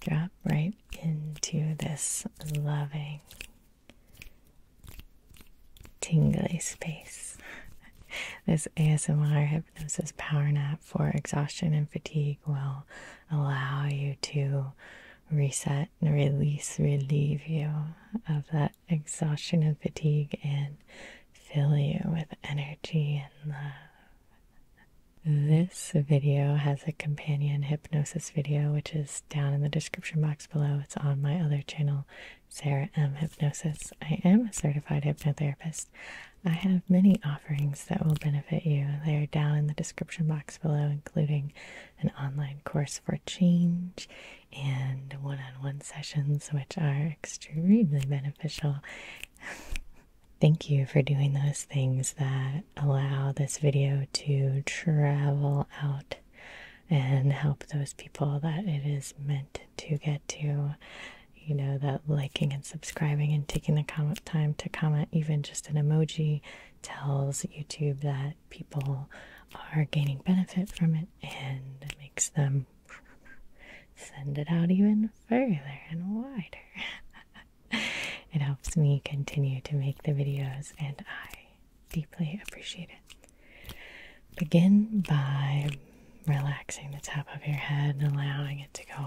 Drop right into this loving, tingly space. this ASMR hypnosis power nap for exhaustion and fatigue will allow you to reset and release, relieve you of that exhaustion and fatigue and fill you with energy and love. This video has a companion hypnosis video, which is down in the description box below. It's on my other channel, Sarah M. Hypnosis. I am a certified hypnotherapist. I have many offerings that will benefit you. They are down in the description box below, including an online course for change and one on one sessions, which are extremely beneficial. Thank you for doing those things that allow this video to travel out and help those people that it is meant to get to. You know, that liking and subscribing and taking the time to comment, even just an emoji, tells YouTube that people are gaining benefit from it and it makes them send it out even further and wider. it helps me continue to make the videos, and I deeply appreciate it. Begin by relaxing the top of your head allowing it to go.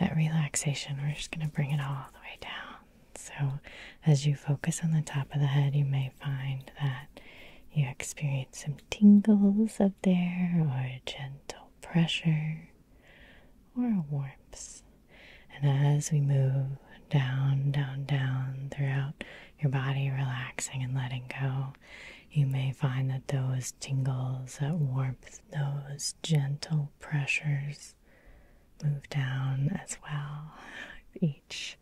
That relaxation, we're just going to bring it all the way down. So, as you focus on the top of the head, you may find that you experience some tingles up there or gentle pressure or a warmth. And as we move down, down, down throughout your body, relaxing and letting go, you may find that those tingles, that warmth, those gentle pressures move down as well each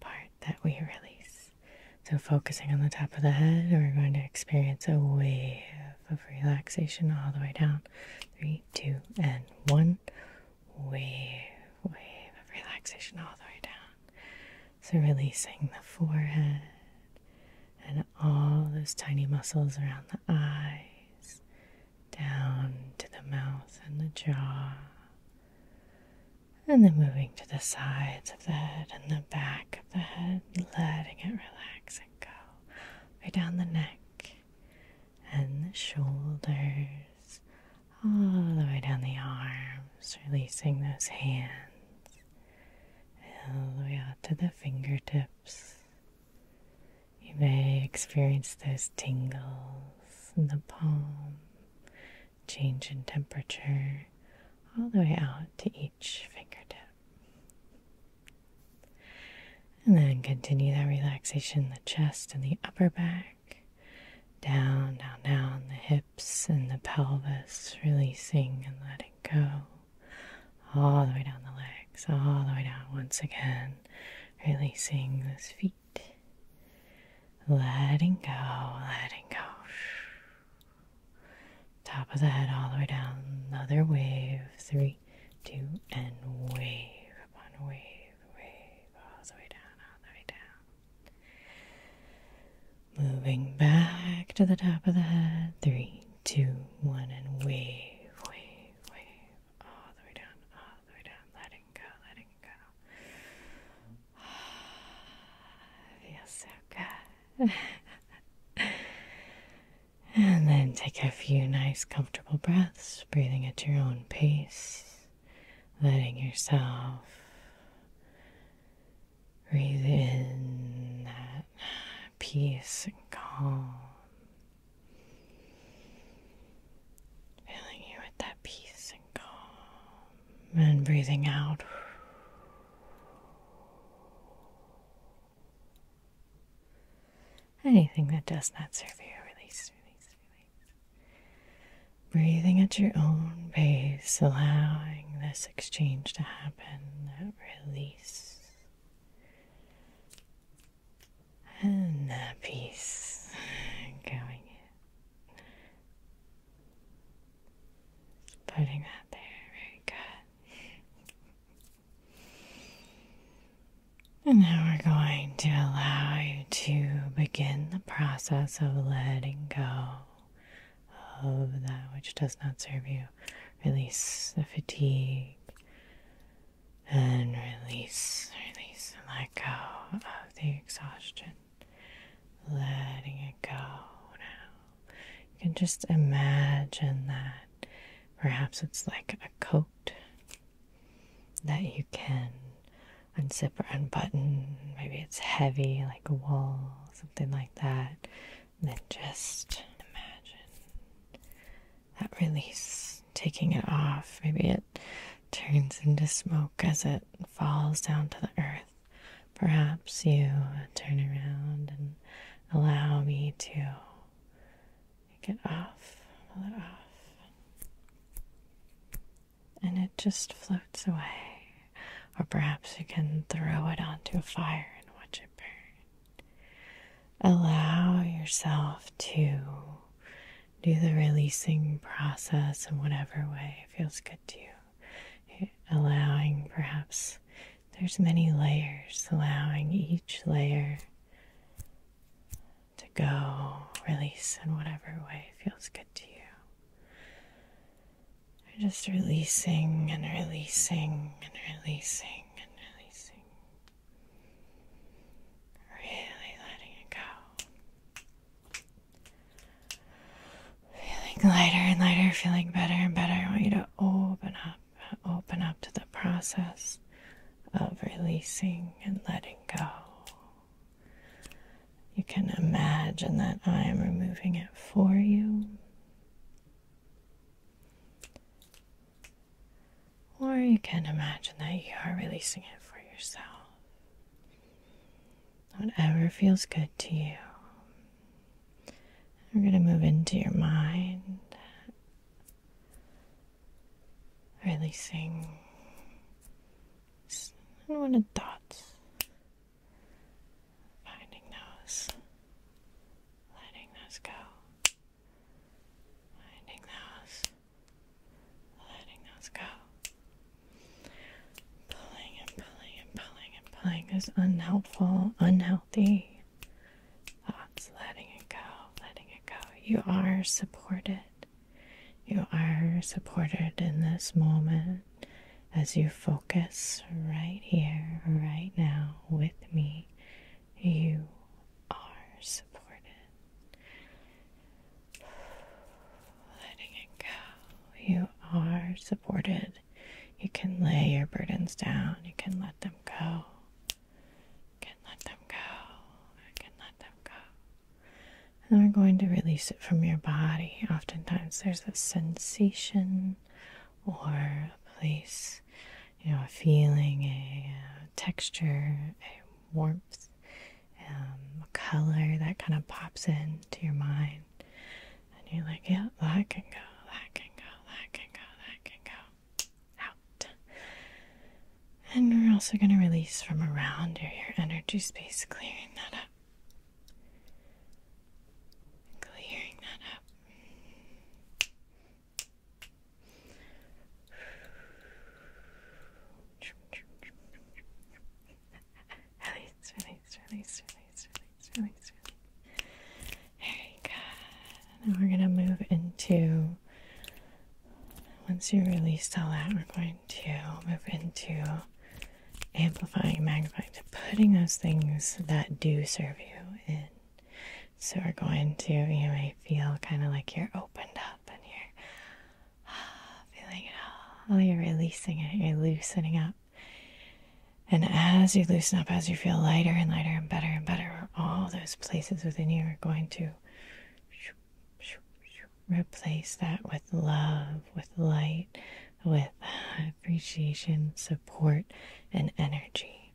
part that we release. So, focusing on the top of the head, we're going to experience a wave of relaxation all the way down. Three, two, and one. Wave, wave of relaxation all the way down. So, releasing the forehead and all those tiny muscles around the eyes, down to the mouth and the jaw. And then moving to the sides of the head and the back of the head, letting it relax and go. Way down the neck and the shoulders, all the way down the arms, releasing those hands, all the way out to the fingertips. You may experience those tingles in the palm, change in temperature, all the way out to each fingertip. And then continue that relaxation the chest and the upper back. Down, down, down, the hips and the pelvis, releasing and letting go. All the way down the legs, all the way down once again, releasing those feet. Letting go, letting go. Top of the head all the way down. Another wave. Three, two, and wave upon wave, wave all the way down, all the way down. Moving back to the top of the head. Three, two, one, and wave, wave, wave all the way down, all the way down. Letting go, letting go. feels so good. and then take a few nice, comfortable breaths, breathing at your own pace, letting yourself breathe in that peace and calm. Filling you with that peace and calm, and breathing out Anything that does not serve you, release, Breathing at your own pace, allowing this exchange to happen, that release. And that peace going in. Putting that there, very good. And now we're going to allow you to begin the process of letting go of that which does not serve you. Release the fatigue and release, release, and let go of the exhaustion. Letting it go you can just imagine that. Perhaps it's like a coat that you can unzip or unbutton. Maybe it's heavy, like a wool, something like that. And then just imagine that release, taking it off. Maybe it turns into smoke as it falls down to the earth. Perhaps you turn around and allow me to take off, pull it off, and it just floats away. Or perhaps you can throw it onto a fire and watch it burn. Allow yourself to do the releasing process in whatever way feels good to you allowing perhaps there's many layers, allowing each layer to go, release in whatever way feels good to you. just releasing and releasing and releasing and releasing. Really letting it go. Feeling lighter and lighter, feeling better and better. I want you to open up, open up to the process of releasing and letting go. You can imagine that I am removing it for you. Or you can imagine that you are releasing it for yourself whatever feels good to you. We're going to move into your mind, releasing unwanted thoughts, finding those, letting those go. Finding those, letting those go. Pulling and pulling and pulling and pulling is unhelpful, unhealthy thoughts, letting it go, letting it go. You are supported. You are supported in this moment as you focus right here, right now with me. You are supported. Letting it go. You are supported you can lay your burdens down. You can let them go. can let them go. can let them go. And we're going to release it from your body. Oftentimes there's a sensation or a place, you know, a feeling, a, uh, texture, a warmth, um, a color that kind of pops into your mind. And you're like, yeah, that can go, that can go, that can go, that can go. Out. And we're also going to release from around your, your energy space, clearing that up. Clearing that up. Release, release, release, release, release, release, release, release. Very good. And then we're going to move into, once you release all that, we're going to move into amplifying, magnifying, to putting those things that do serve you in. So we're going to, you may feel kind of like you're opened up and you're ah, feeling it all. You're releasing it, you're loosening up. And as you loosen up, as you feel lighter and lighter and better and better, all those places within you are going to replace that with love, with light, with appreciation, support, and energy.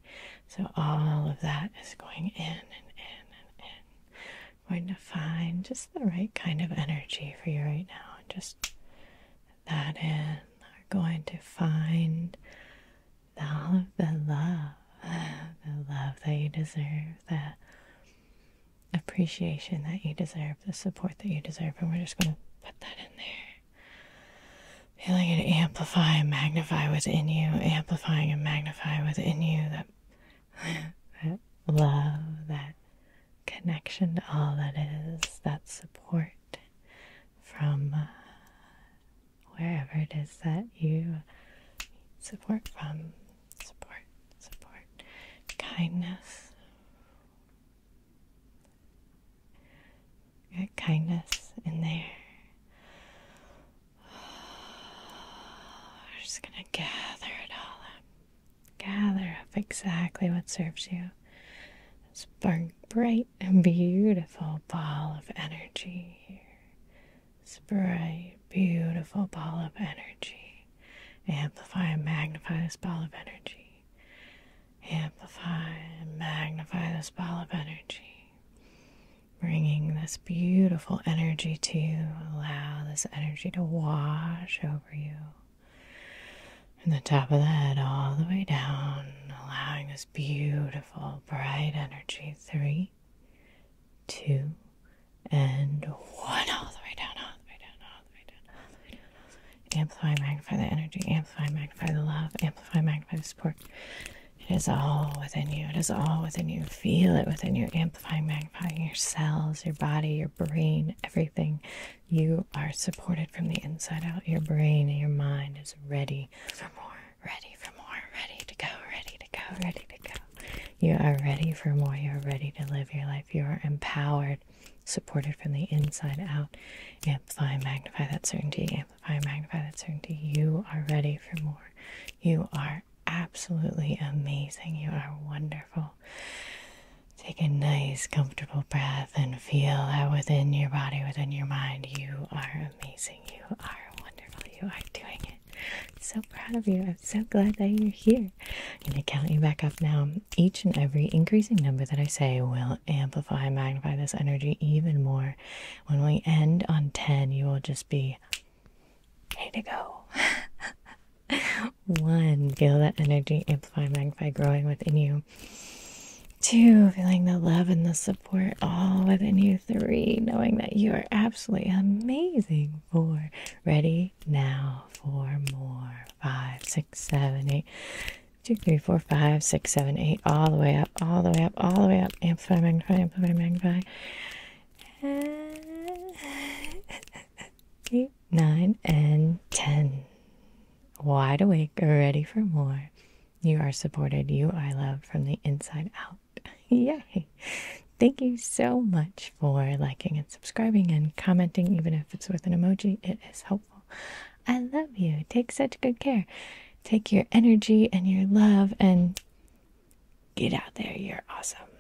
So all of that is going in and in and in. Going to find just the right kind of energy for you right now just that in are going to find all of the love, the love that you deserve, the appreciation that you deserve, the support that you deserve, and we're just going to put that in there. Feeling it amplify magnify within you, amplifying and magnify within you that, that love, that connection to all that is, that support from uh, wherever it is that you need support from. Support, support, kindness. Get kindness in there. We're just gonna gather it all up. Gather up exactly what serves you. This bright and beautiful ball of energy here. This bright, beautiful ball of energy. Amplify and magnify this ball of energy. Amplify and magnify this ball of energy. Bringing this beautiful energy to you. Allow this energy to wash over you. And the top of the head all the way down, allowing this beautiful, bright energy. Three, two, and one. All the way down, all the way down, all the way down, Amplify, magnify the energy. Amplify, magnify the love. Amplify, magnify the support. It is all within you. It is all within you. Feel it within you. Amplifying, magnify your cells, your body, your brain, everything. You are supported from the inside out. Your brain and your mind is ready for more, ready for more, ready to go, ready to go, ready to go. You are ready for more. You're ready to live your life. You are empowered, supported from the inside out. Amplify magnify that certainty. Amplify and magnify that certainty. You are ready for more. You are absolutely amazing. You are wonderful. Take a nice, comfortable breath and feel that within your body, within your mind, you are amazing. You are wonderful. You are doing it. so proud of you. I'm so glad that you're here. I'm going to count you back up now. Each and every increasing number that I say will amplify, magnify this energy even more. When we end on 10, you will just be ready to go. One, feel that energy amplify, magnify, growing within you. Two, feeling the love and the support all within you. Three, knowing that you are absolutely amazing. Four, ready now for more. Five, six, seven, eight. Two, three, four, five, six, seven, eight. All the way up, all the way up, all the way up. Amplify, magnify, amplify, magnify. And 9, and 10. Wide awake, ready for more. You are supported. You are loved from the inside out. Yay! Thank you so much for liking and subscribing and commenting, even if it's with an emoji. It is helpful. I love you. Take such good care. Take your energy and your love and get out there. You're awesome.